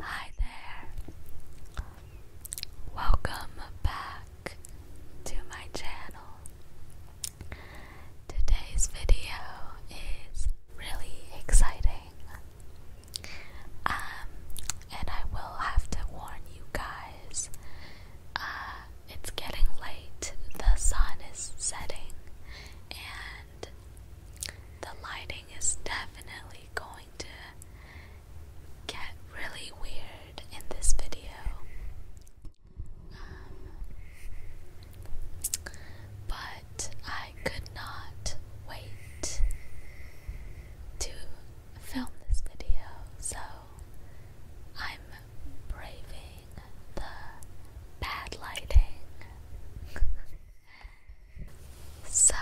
Hi there. Welcome back to my channel. Today's video is really exciting. Um, and I will have to warn you guys. Uh, it's getting late, the sun is setting, and the lighting is definitely going to get really weird in this video. Um, but I could not wait to film this video, so I'm braving the bad lighting. so,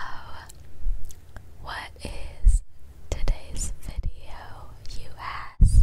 what is today's video, you ask?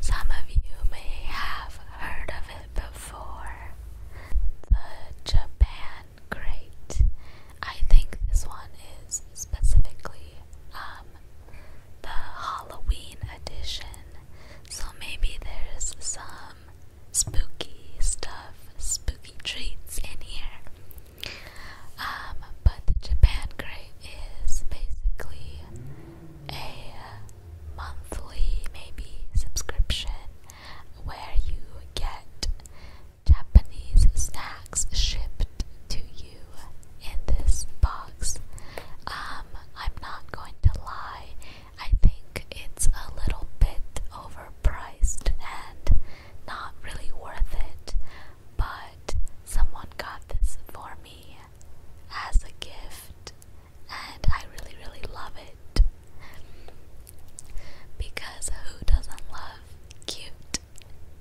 Some of you may have heard of it before. The Japan Crate. I think this one is specifically um, the Halloween edition. So maybe there's some spooky stuff, spooky treats in here. Um, but Japan crate is basically a monthly, maybe, subscription where you get Japanese snacks shipped to you in this box. Um, I'm not going to lie, I think it's a little bit overpriced and not really worth it, but someone got this for me as a gift, and I really, really love it. Because who doesn't love cute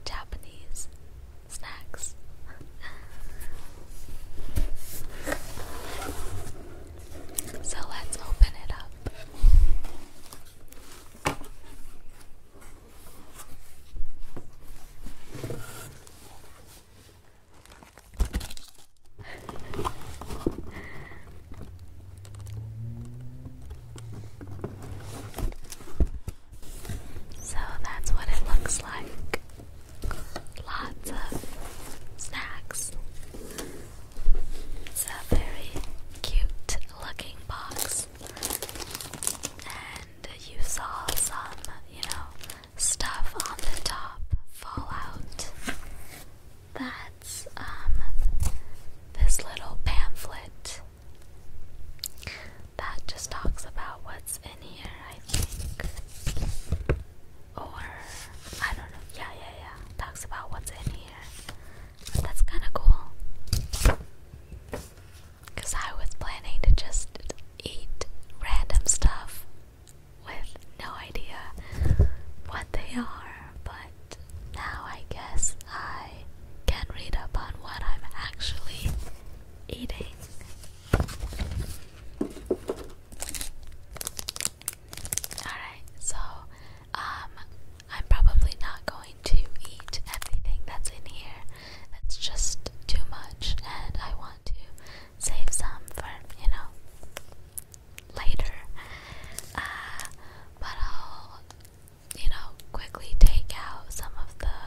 Japanese snacks? so let's open it up. So that's what it looks like. Lots of snacks. It's a very cute looking box. And you saw some, you know, stuff on the top fall out. That's um this little pamphlet that just talks about what's in here, I think. Or I don't know. Yeah, yeah, yeah. Talks about what's in here that's kind of cool. Because I was planning to just eat random stuff with no idea what they are, but now I guess I can read up on what I'm actually eating. Alright, so um, I'm probably not going to eat everything that's in here. That's just too much, and I want to save some for, you know, later. Uh, but I'll, you know, quickly take out some of the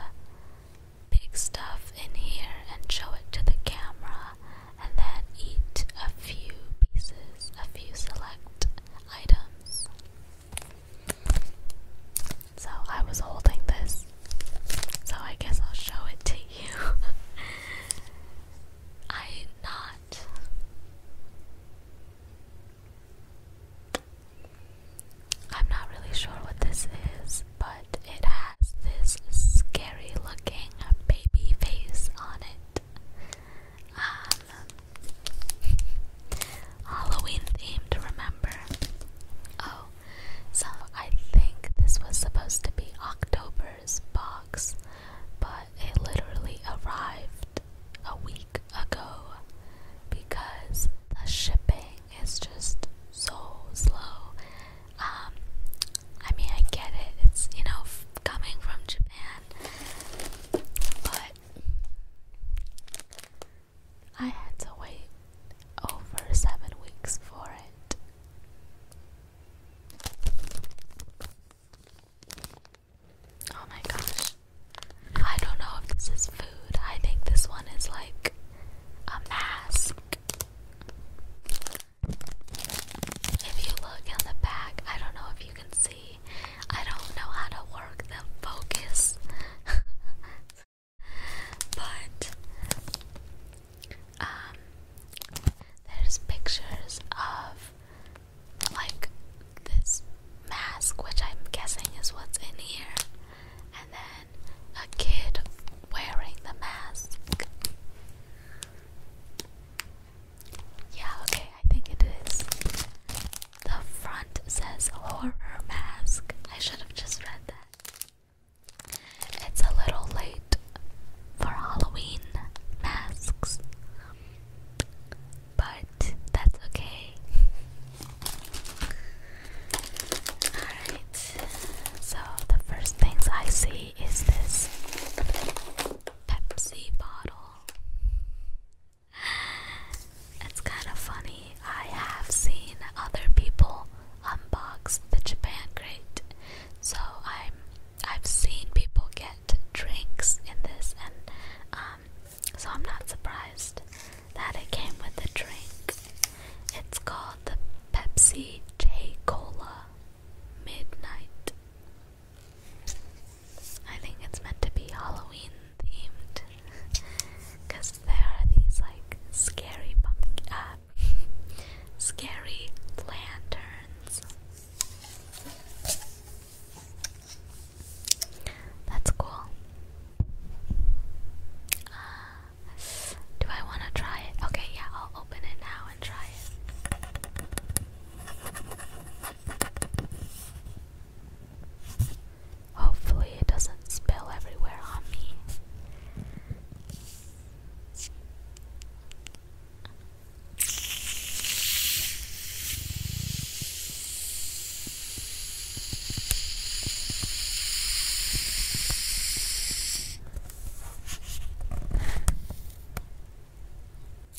big stuff in here and show it to the camera, and then eat a few pieces, a few select items. So I was holding this. So I guess I'll show it to you. I not. I'm not really sure what this is, but it has this scary looking baby face on it um, Halloween themed, remember? Oh, so I think this was supposed to be October's box, but it literally arrived a week ago because the shipping is just so slow. Um, I mean, I get it, it's you know, coming from Japan, but I had to wait over seven weeks for it. Oh my gosh. I don't know if this is food. I think this one is like a mask. If you look in the back, I don't know if you can see I don't know how to work the focus. but um there's pictures of like this mask which I'm guessing is what's in here and then a kid wearing the mask. Yeah, okay, I think it is. The front says horror mask. I should have just read that. It's a little late for Halloween masks, but that's okay. Alright, so the first things I see is this Pepsi bottle. It's kind of funny. I have seen other people unbox the Japan crate, so I'm I've seen people get drinks in this, and um, so I'm not surprised that it came with a drink. It's called the Pepsi J Cola Midnight. I think it's meant to be Halloween themed because there are these like scary pumpkin, uh, scary lanterns. That's cool. Uh, do I want to try it? Okay, yeah, I'll open it now and try it. Hopefully, it doesn't spill everywhere on me.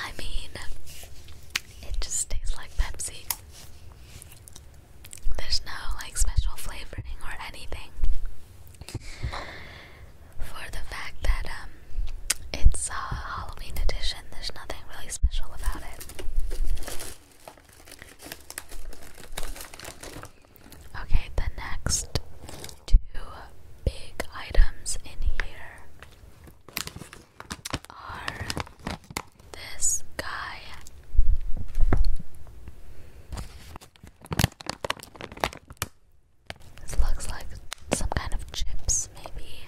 I mean, it just tastes like Pepsi. There's no like special flavoring or anything. For the fact that um it's a Halloween edition, there's nothing really special about it. Okay, the next two big items in here are this guy. This looks like some kind of chips, maybe.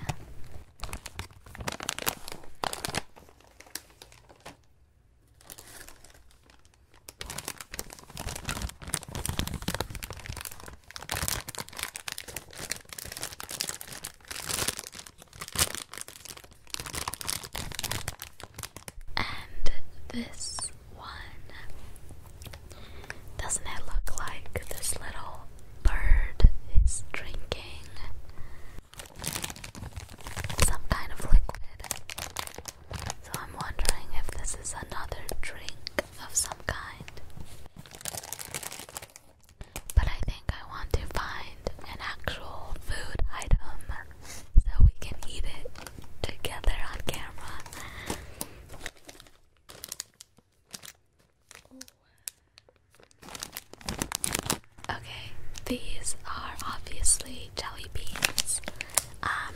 And this one doesn't it look like this little bird is drinking some kind of liquid. So I'm wondering if this is another drink of some kind. But I think I want to find an actual food item so we can eat it together on camera. Okay, these are obviously jelly beans. Um,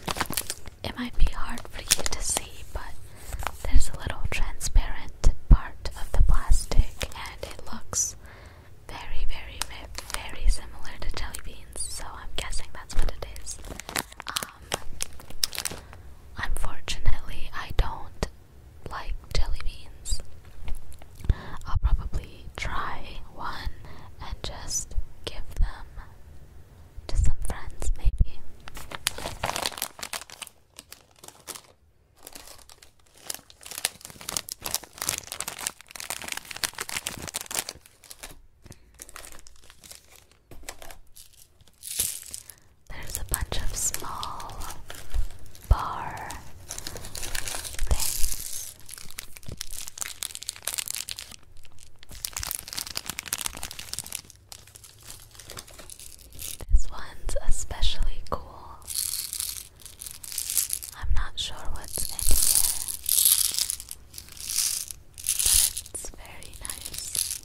it might be hard for you to see, but there's a little transparent part of the plastic, and it looks very, very, very similar to jelly beans. So I'm guessing that's what it is. Um, unfortunately, I don't like jelly beans. I'll probably try one and just give them to some friends, maybe. There's a bunch of small bar things. This one's especially cool. I'm not sure what's in here, but it's very nice.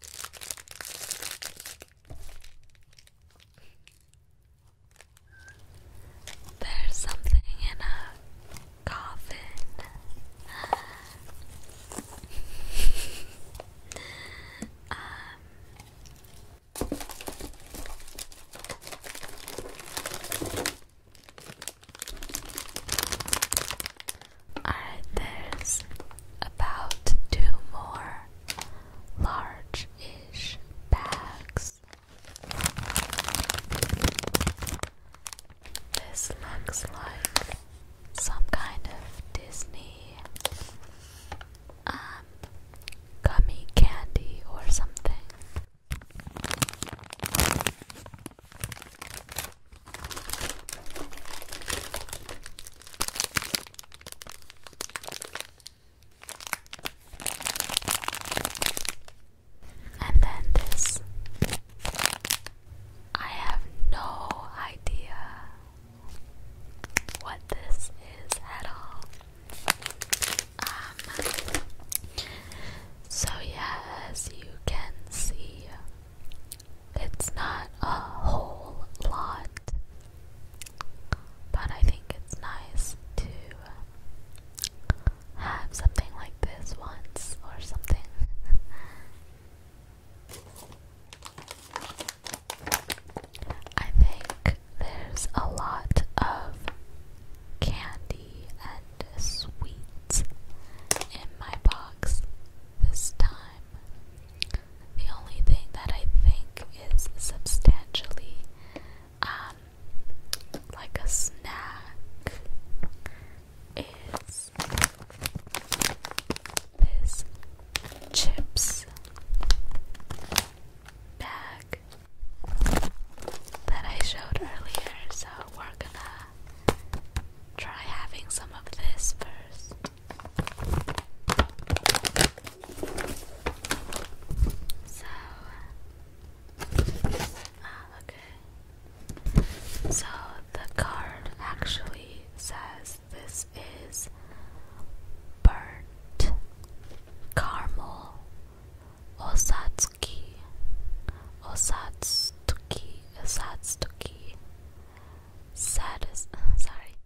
There's something in a coffin. um, Alright, there's about two more large ish bags. This looks like some kind of Disney um, gummy candy or something. And then this. I have no idea what this is at all. Um, so, yeah, as you can see, it's not a whole lot, but I think it's nice to have something like this once or something. I think there's a lot of candy and sweets in my box this time. The only thing that I think is substantially um, like a snack is this chips bag that I showed earlier. So we're gonna Try having some of this first. So, ah, okay. So the card actually says this is burnt caramel osatsuki, osatsuki, osatsuki. Satis sorry,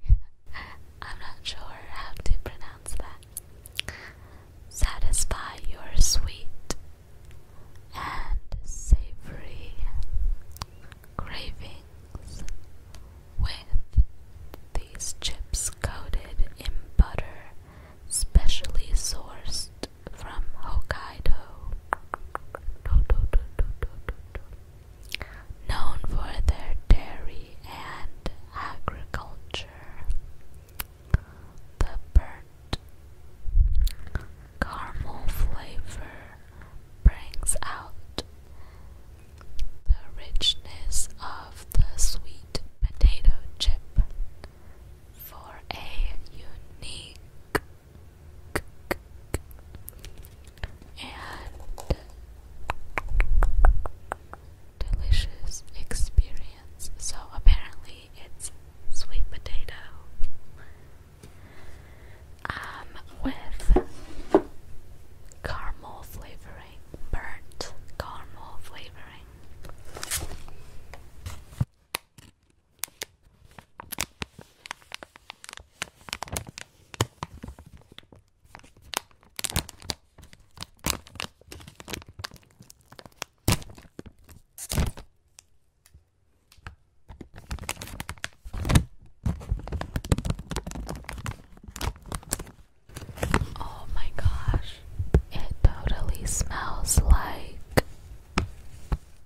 I'm not sure how to pronounce that. Satisfy your sweet and savory cravings with these chips coated in butter, specially sourced from Hokkaido. Known for their dairy and agriculture, the burnt caramel flavor brings out the richness of the sweet potato chip for a unique and delicious experience. So apparently it's sweet potato um with caramel flavoring, burnt caramel flavoring. Oh, my gosh, it totally smells like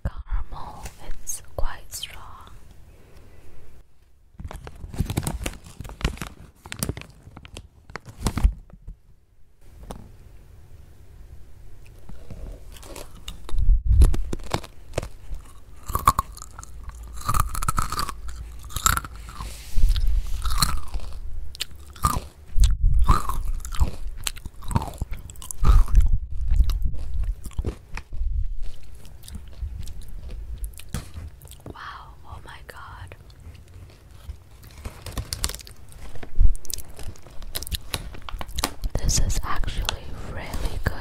caramel, it's quite strong. Wow, oh my god. This is actually really good.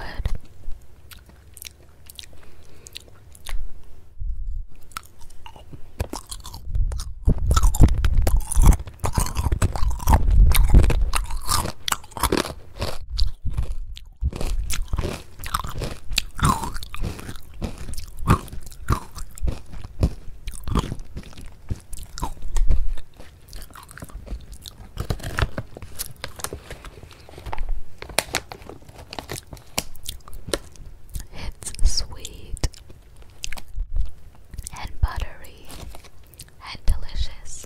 It's sweet and buttery and delicious.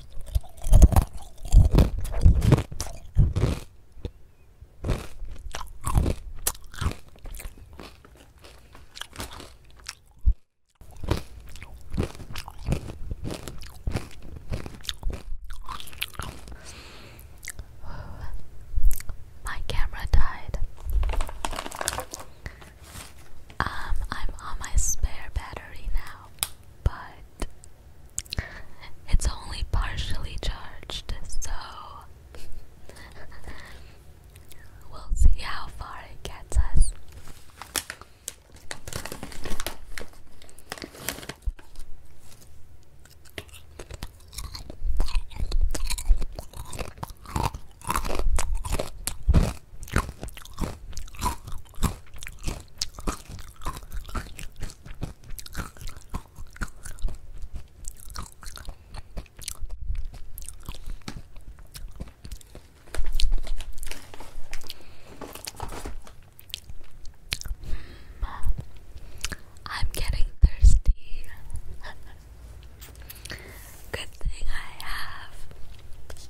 My camera died. Um, I'm on my spare battery now, but it's only partially charged, so we'll see how far it gets us. I'm getting thirsty. Good thing I have this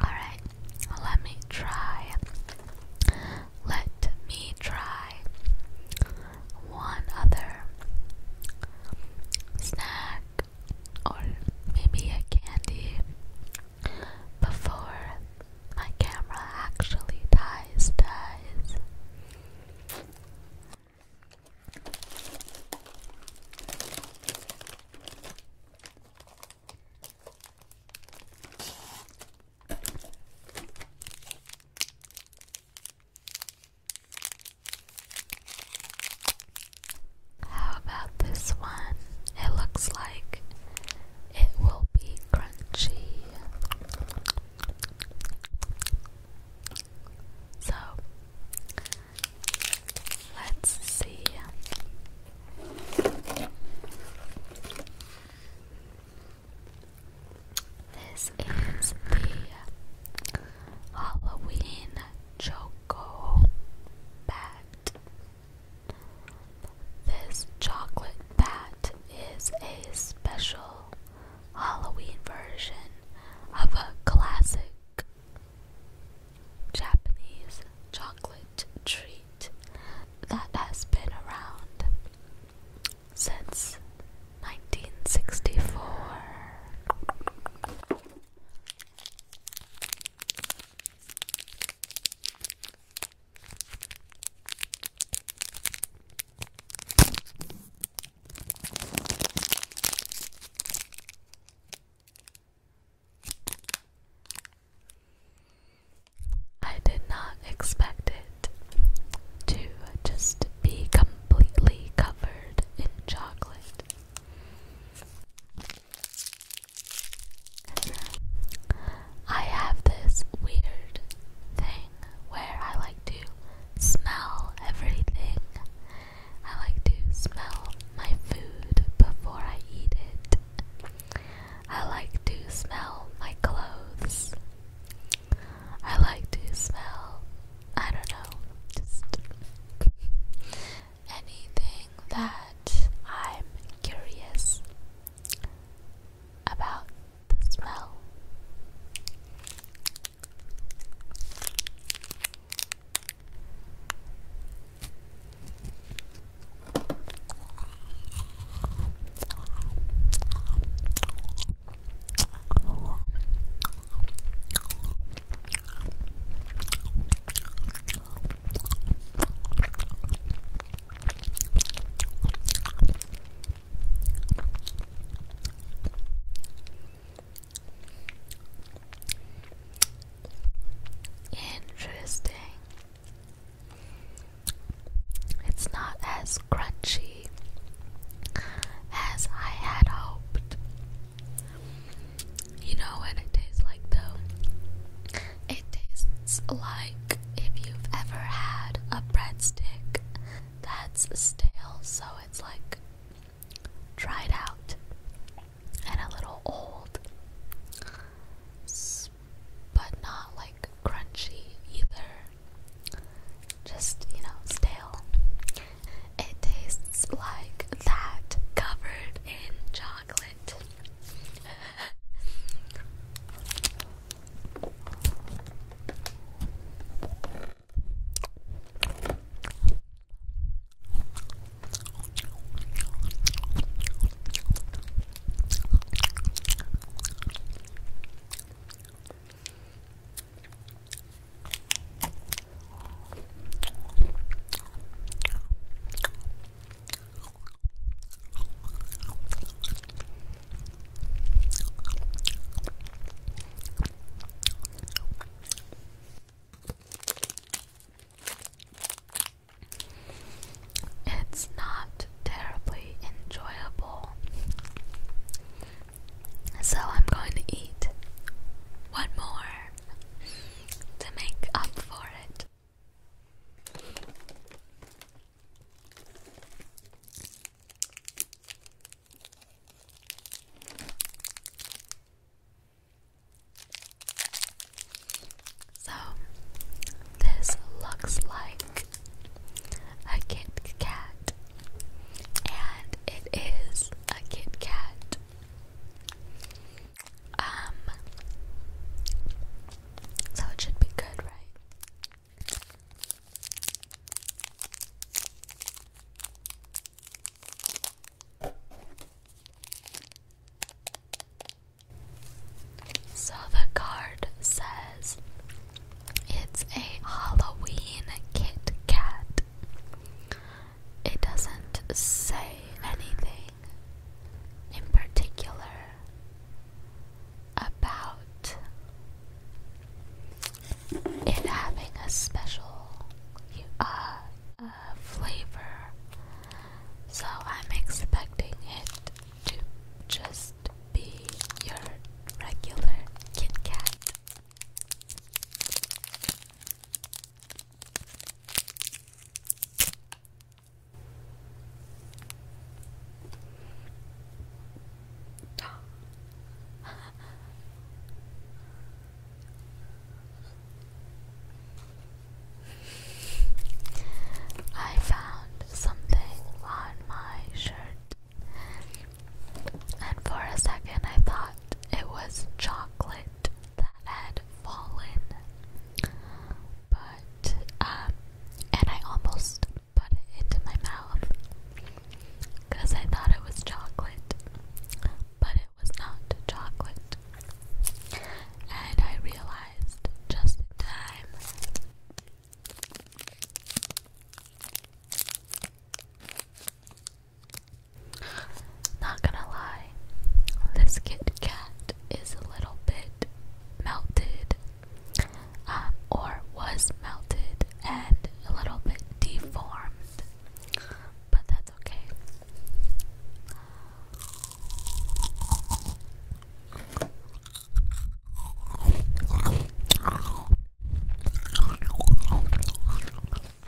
All right, let me try. Let me try one other snack or maybe a candy before my camera actually dies dies. How about this one? It looks like it will be crunchy. So let's see. This is the Halloween chocolate Choco Bat. This chocolate bat is a special Halloween version of a classic Japanese chocolate treat that has been around since 1964. I did not expect it to just be completely covered in chocolate. I have this weird thing where I like to smell everything. I like to smell my food before I eat it. I like to smell my clothes. I like to smell, I don't know, just anything that I'm curious about the smell. Interesting. It's not as crunchy as I had hoped. You know what it tastes like though? It tastes like if you've ever had a breadstick that's stale, so it's like dried out and a little old, but not like crunchy either. Just, you know, stale. It tastes like that covered in chocolate. It's not terribly enjoyable, so I'm going to eat one more to make up for it. So, this looks like a Kit Kat, and it is a Kit Kat. Um, so it should be good, right? So the card says it's a Halloween Kit Kat. It doesn't say anything in particular about it having a special uh, uh, flavor, so I'm expecting it to just be your regular Kit Kat. I found something on my shirt, and for a second I thought it was chocolate that had fallen. But, um, and I almost put it into my mouth because I thought it was chocolate, but it was not chocolate. And I realized just in time. Not gonna lie, this Kit Kat is a little bit melted, um, or was melted and a little bit deformed, but that's okay.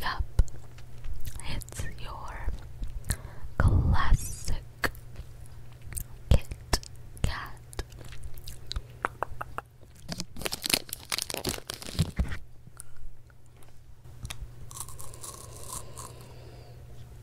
Yup, it's your classic Kit Kat.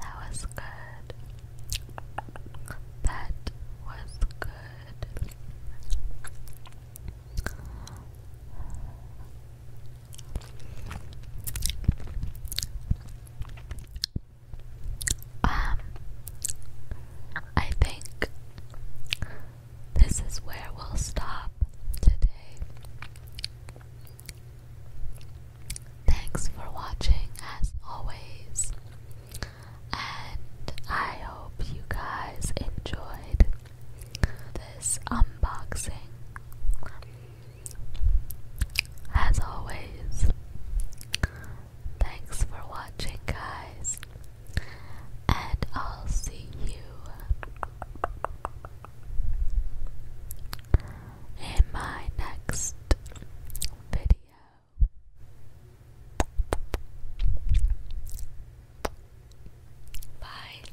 That was good. That was good. Um, I think this is where we'll stop today. Thanks for watching, as always, and I hope you guys enjoyed this unboxing. As always, thanks for watching, guys, and I'll see you in my next video. Bye.